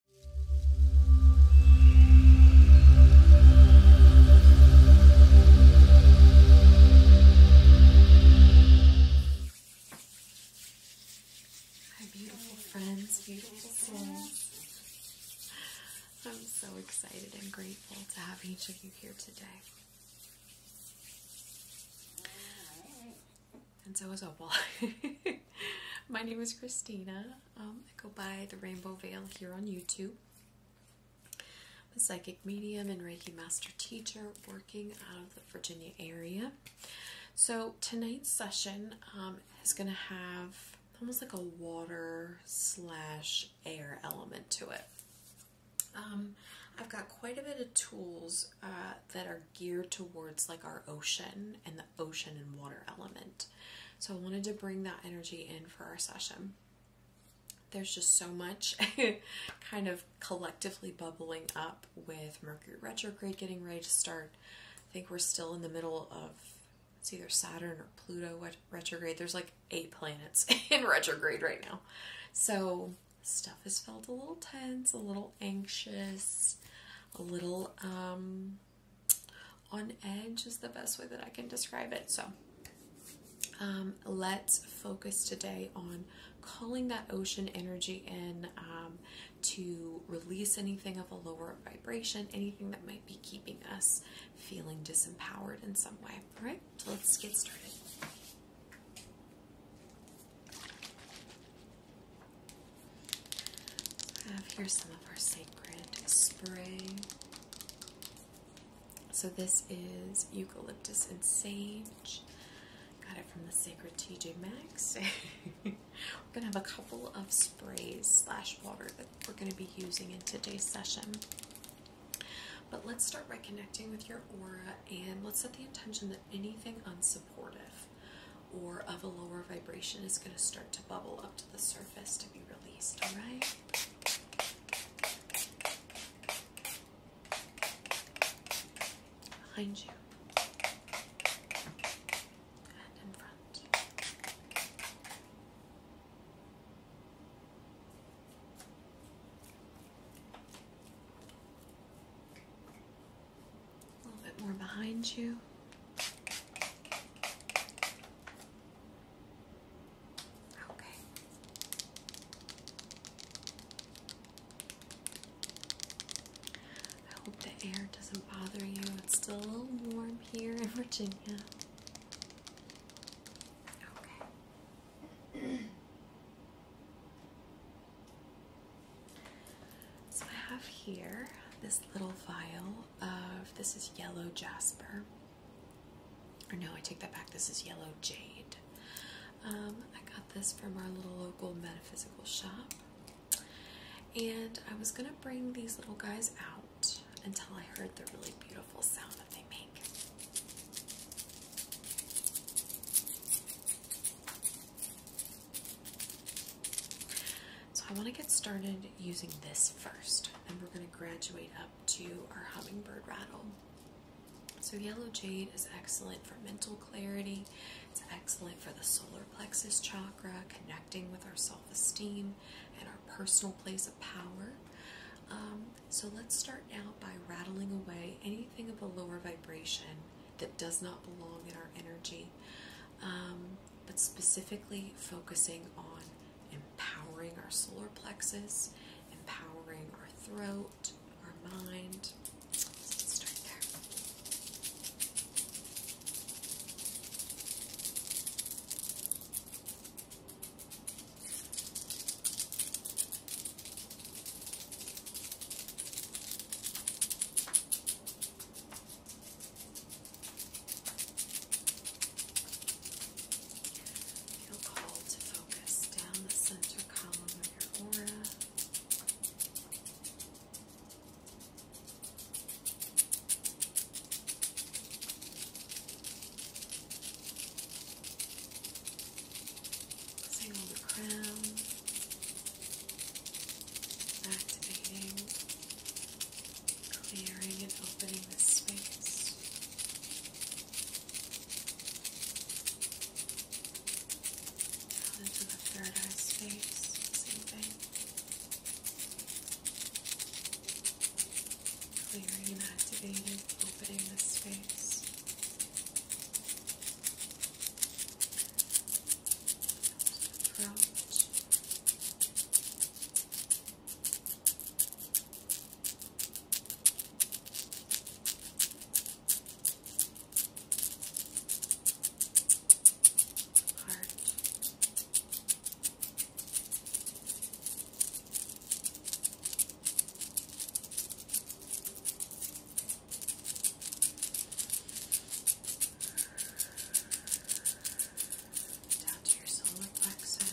My beautiful friends, beautiful souls. I'm so excited and grateful to have each of you here today. And so is Opal. My name is Christina. Um, I go by the Rainbow Veil here on YouTube. I'm a psychic medium and Reiki master teacher working out of the Virginia area. So tonight's session um, is going to have almost like a water slash air element to it. Um, I've got quite a bit of tools uh, that are geared towards like our ocean and the ocean and water element. So I wanted to bring that energy in for our session. There's just so much kind of collectively bubbling up with Mercury retrograde getting ready to start. I think we're still in the middle of it's either Saturn or Pluto retrograde. There's like eight planets in retrograde right now. So stuff has felt a little tense, a little anxious, a little um on edge is the best way that I can describe it. So um, let's focus today on calling that ocean energy in um, to release anything of a lower vibration, anything that might be keeping us feeling disempowered in some way. All right, so let's get started. I have here some of our sacred spray. So this is eucalyptus and sage. Got it from the sacred TJ Maxx. we're gonna have a couple of sprays slash water that we're gonna be using in today's session. But let's start by connecting with your aura and let's set the intention that anything unsupportive or of a lower vibration is going to start to bubble up to the surface to be released, all right? Behind you. And in front. A little bit more behind you. Okay. I hope the air doesn't bother you. It's still a little warm here in Virginia. Okay. So I have here this little vial of this is yellow jasper. Or no, I take that back. This is yellow jade. Um, I got this from our little local metaphysical shop. And I was gonna bring these little guys out until I heard the really beautiful sound that they make. So I want to get started using this first, and we're going to graduate up to our hummingbird rattle. So yellow jade is excellent for mental clarity. It's excellent for the solar plexus chakra, connecting with our self-esteem and our personal place of power. Um, so let's start now by rattling away anything of a lower vibration that does not belong in our energy. Um, but specifically focusing on empowering our solar plexus, empowering our throat, our mind. let's start there. Feel called to focus down the center column of your aura. Single the crown, activating, clearing, and opening this space. into the third space, same Clearing and activating, opening the space approach. Heart down to your solar plexus. Down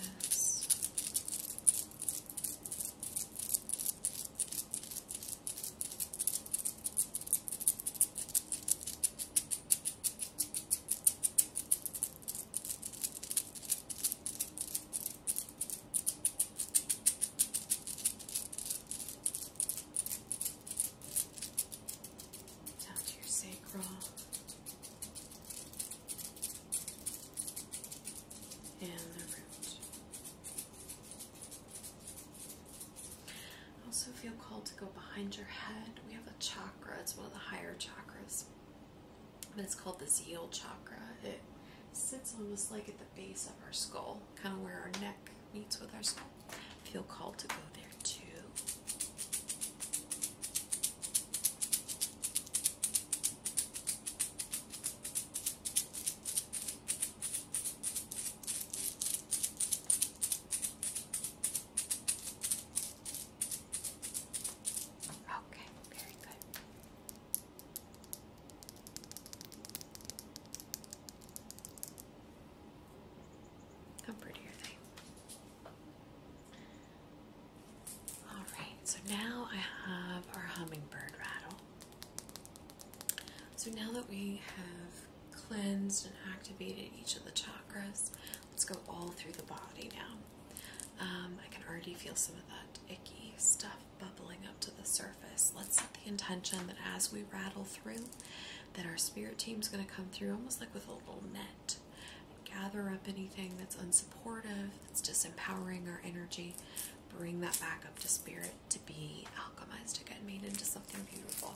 down to your sacral. And the root. I also feel called to go behind your head. We have a chakra, it's one of the higher chakras. But it's called the zeal chakra. It sits almost like at the base of our skull, kind of where our neck meets with us. Feel called to go there too. Okay, very good. How prettier are they? Alright, so now I have our hummingbird rattle. So now that we have cleansed and activated each of the chakras, let's go all through the body now. Um, I can already feel some of that icky stuff bubbling up to the surface. Let's set the intention that as we rattle through, that our spirit team is going to come through almost like with a little net, gather up anything that's unsupportive, that's disempowering our energy, bring that back up to spirit to be alchemized to get made into something beautiful.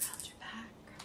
Round your back. Good.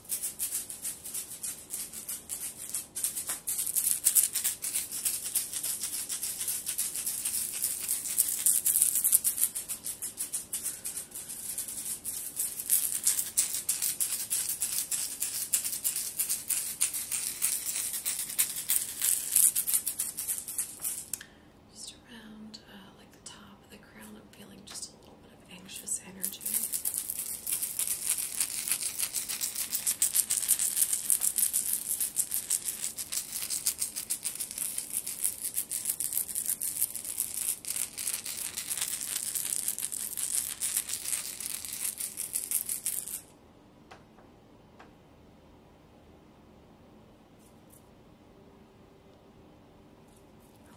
Just around uh, like the top the crown. I'm feeling just a little bit of anxious energy.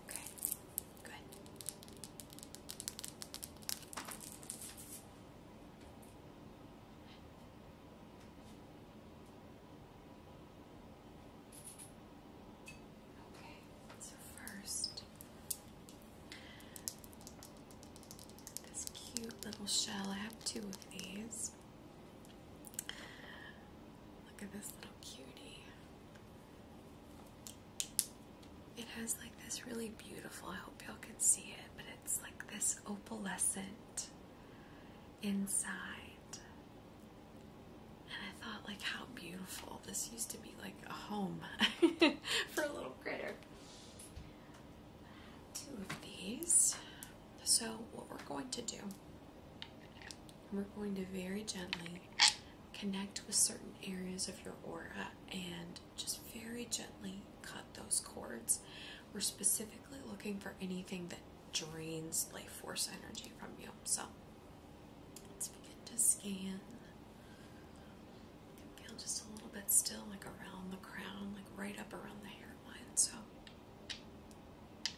Okay, Okay, so first, this cute little shell, I have two of these. Look at this little cutie. It has like this really beautiful, I hope y'all can see it, but it's like this opalescent inside. And I thought like how beautiful. This used to be like a home for a little critter. Two of these. So what we're going to do we're going to very gently connect with certain areas of your aura and just very gently cut those cords. We're specifically looking for anything that drains life force energy from you. So let's begin to scan. feel just a little bit still, like around the crown, like right up around the hairline. So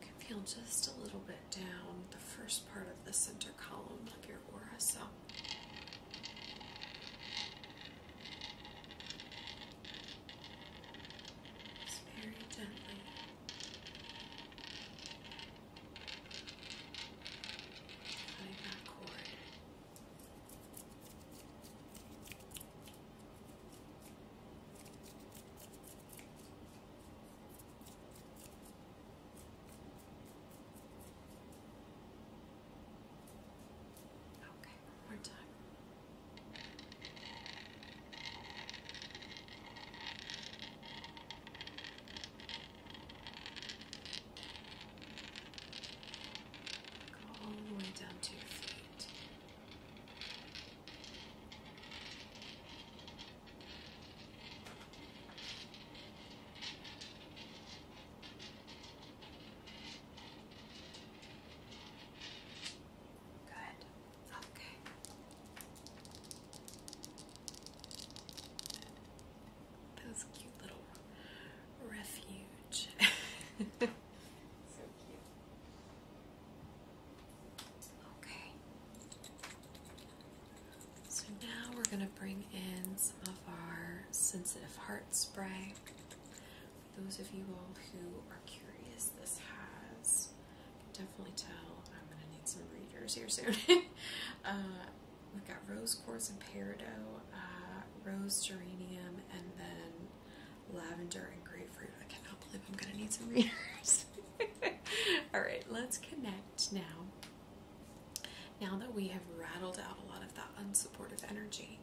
can feel just a little bit down the first part of the center column of your aura. So very gently. Cutting that cord. Okay, one more time. Go all the way down to your feet. Good. Okay. Those cute little refuge. so cute. Okay. So now we're going to bring in some of our sensitive heart spray. those of you all who are curious, this has, definitely tell I'm going to need some readers here soon. Uh, we've got rose quartz and peridot, uh, rose geranium, and then lavender and grapefruit. I cannot believe I'm going to need some readers. all right, let's connect now, now that we have rattled out a lot of that unsupportive energy,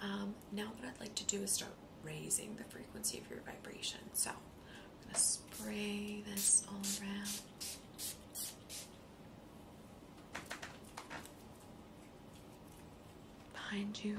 um, now what I'd like to do is start raising the frequency of your vibration. So I'm going to spray this all around. Behind you,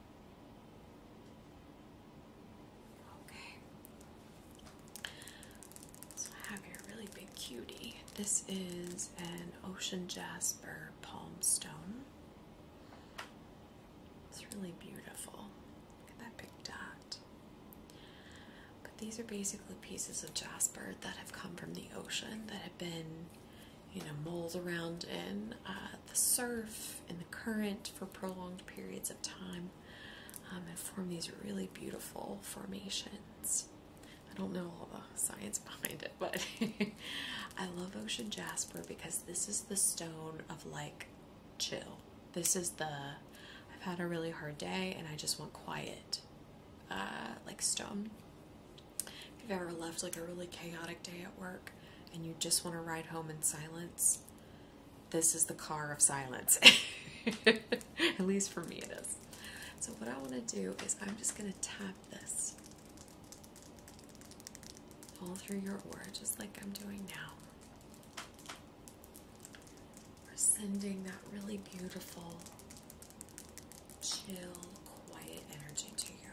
Okay. So I have your really big cutie. This is an ocean jasper palm stone. It's really beautiful. Look at that big dot. But these are basically pieces of jasper that have come from the ocean that have been you know, moles around in uh, the surf and the current for prolonged periods of time um, and form these really beautiful formations. I don't know all the science behind it, but I love ocean jasper because this is the stone of like chill. This is the I've had a really hard day and I just want quiet, uh, like stone. If you've ever left like a really chaotic day at work and you just want to ride home in silence, this is the car of silence. At least for me it is. So what I want to do is I'm just going to tap this all through your aura, just like I'm doing now. We're sending that really beautiful, chill, quiet energy to you.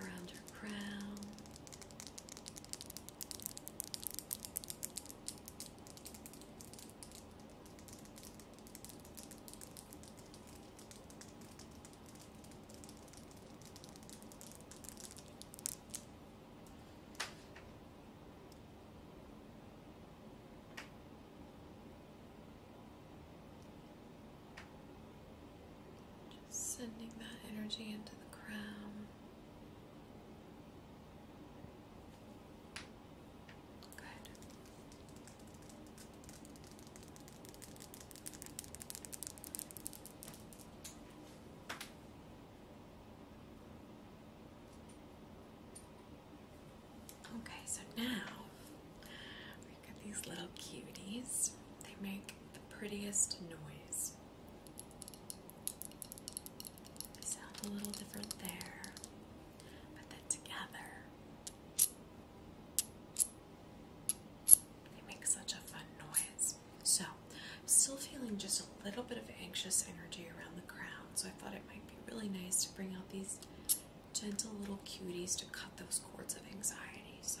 around your crown. Just sending that energy into the crown. Good. Okay, so now we've got these little cuties. They make the prettiest noise. They sound a little different there, but then together they make such a fun noise. So, I'm still feeling just a little bit of anxious energy around the crown, so I thought it might be really nice to bring out these gentle little cuties to cut those cords of anxiety. So,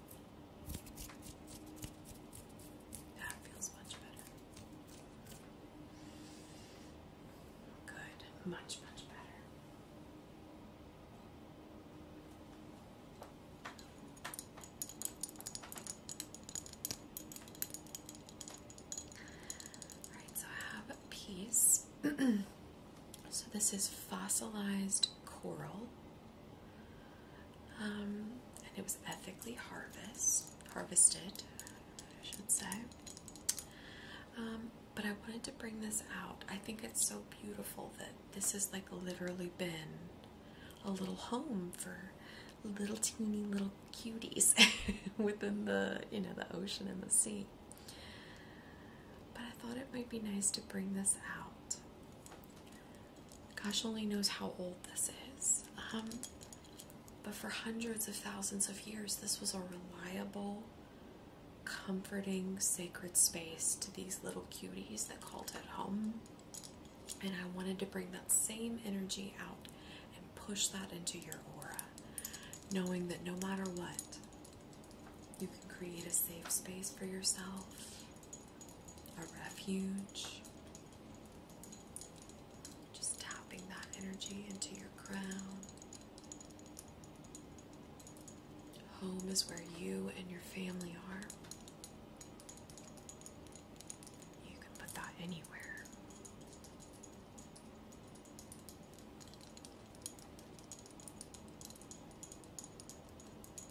That feels much better. Good, much, much better. Alright, so I have a piece. so this is fossilized coral. Um, and it was ethically harvest, harvested, I should say. Um, but I wanted to bring this out. I think it's so beautiful that this has like literally been a little home for little teeny little cuties within the, you know, the ocean and the sea. But I thought it might be nice to bring this out gosh only knows how old this is. Um, but for hundreds of thousands of years, this was a reliable, comforting, sacred space to these little cuties that called it home. And I wanted to bring that same energy out and push that into your aura, knowing that no matter what, you can create a safe space for yourself a refuge. Just tapping that energy into your crown. Home is where you and your family are. You can put that anywhere.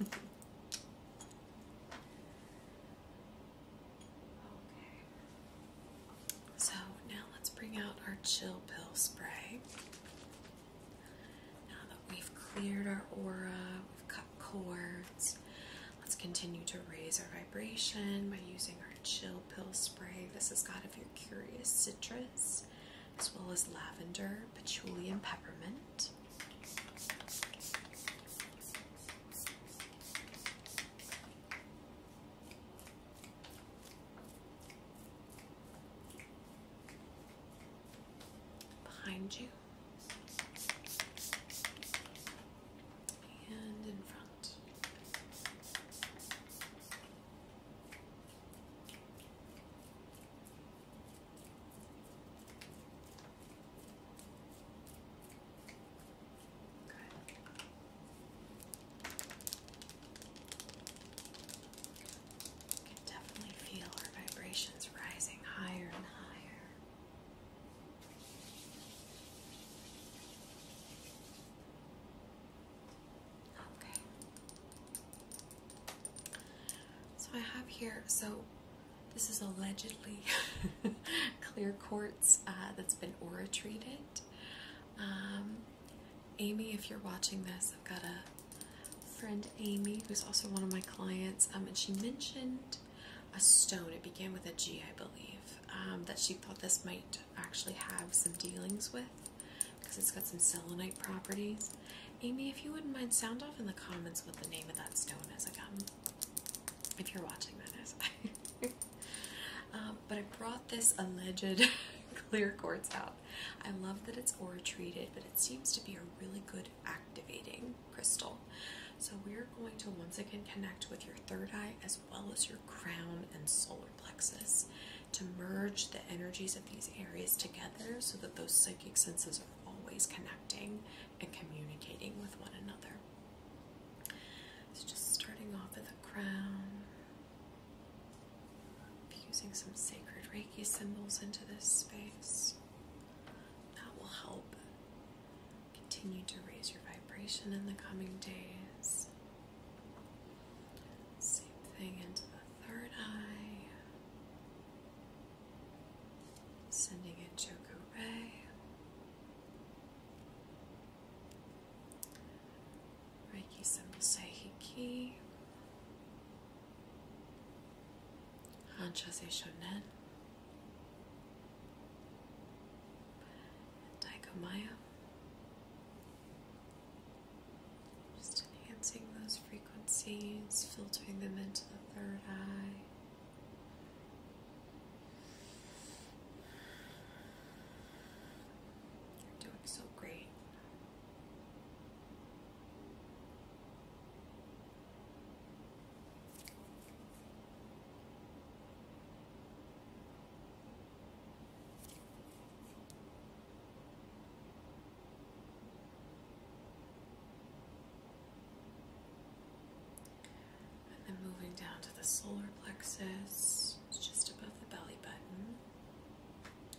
okay. So now let's bring out our chill pill spray. Now that we've cleared our aura, we've cut cords, let's continue to raise our vibration by using our Chill Pill Spray. This has got, if you're curious, citrus as well as lavender, patchouli, and peppermint. Behind you and in front. You can definitely feel our vibrations rising higher and higher. Okay. So I have here, so this is allegedly clear quartz uh, that's been aura treated. Um, Amy, if you're watching this, I've got a friend, Amy, who's also one of my clients, um, and she mentioned a stone. It began with a G, I believe, um, that she thought this might actually have some dealings with because it's got some selenite properties. Amy, if you wouldn't mind, sound off in the comments what the name of that stone is again. If you're watching that is. uh, um, but I brought this alleged clear quartz out. I love that it's aura treated, but it seems to be a really good activating crystal. So we're going to once again connect with your third eye as as well as your crown and solar plexus to merge the energies of these areas together so that those psychic senses are always connecting and communicating with one another. So, just starting off at the crown, fusing some sacred Reiki symbols into this space. That will help continue to raise your vibration in the coming days. Same thing into the third eye, sending it Choco Ray. Reiki symbol Saihiki. Hanshase Shonen. Daikomaya. Just enhancing those frequencies, filtering them into the third eye. You're doing so great. And then moving down to the solar plexus, just above the belly button.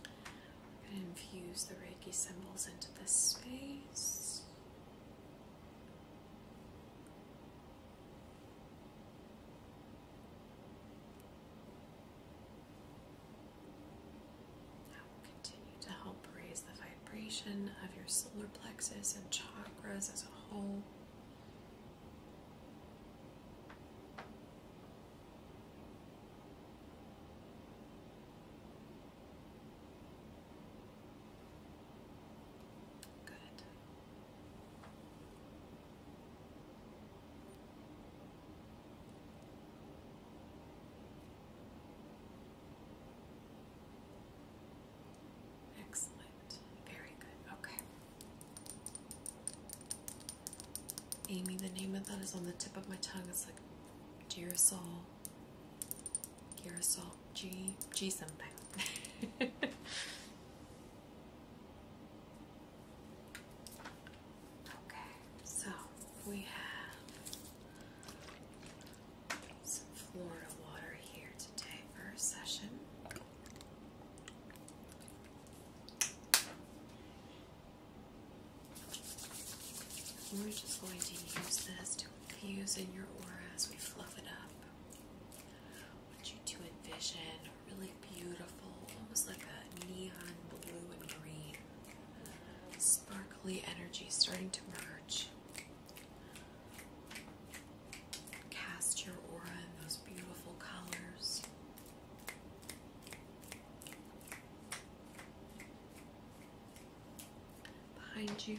I'm going to infuse the Reiki symbols into this space. That will continue to help raise the vibration of your solar plexus and chakras as a whole. Good. Excellent. Very good. Okay. Amy, the name of that is on the tip of my tongue. It's like Gerasol. Gerasol. G. G something. Okay, so we have some Florida water here today for a session. We're just going to use this to infuse in your aura as we fluff it up. What want you to envision really beautiful, almost like a neon blue and green, sparkly energy starting to merge. Cast your aura in those beautiful colors. Behind you.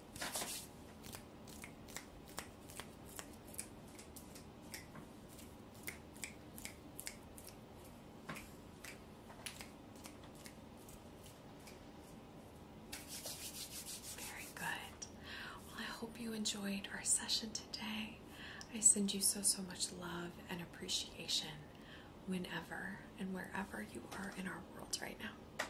Very good. Well, I hope you enjoyed our session today. I send you so, so much love and appreciation whenever and wherever you are in our world right now.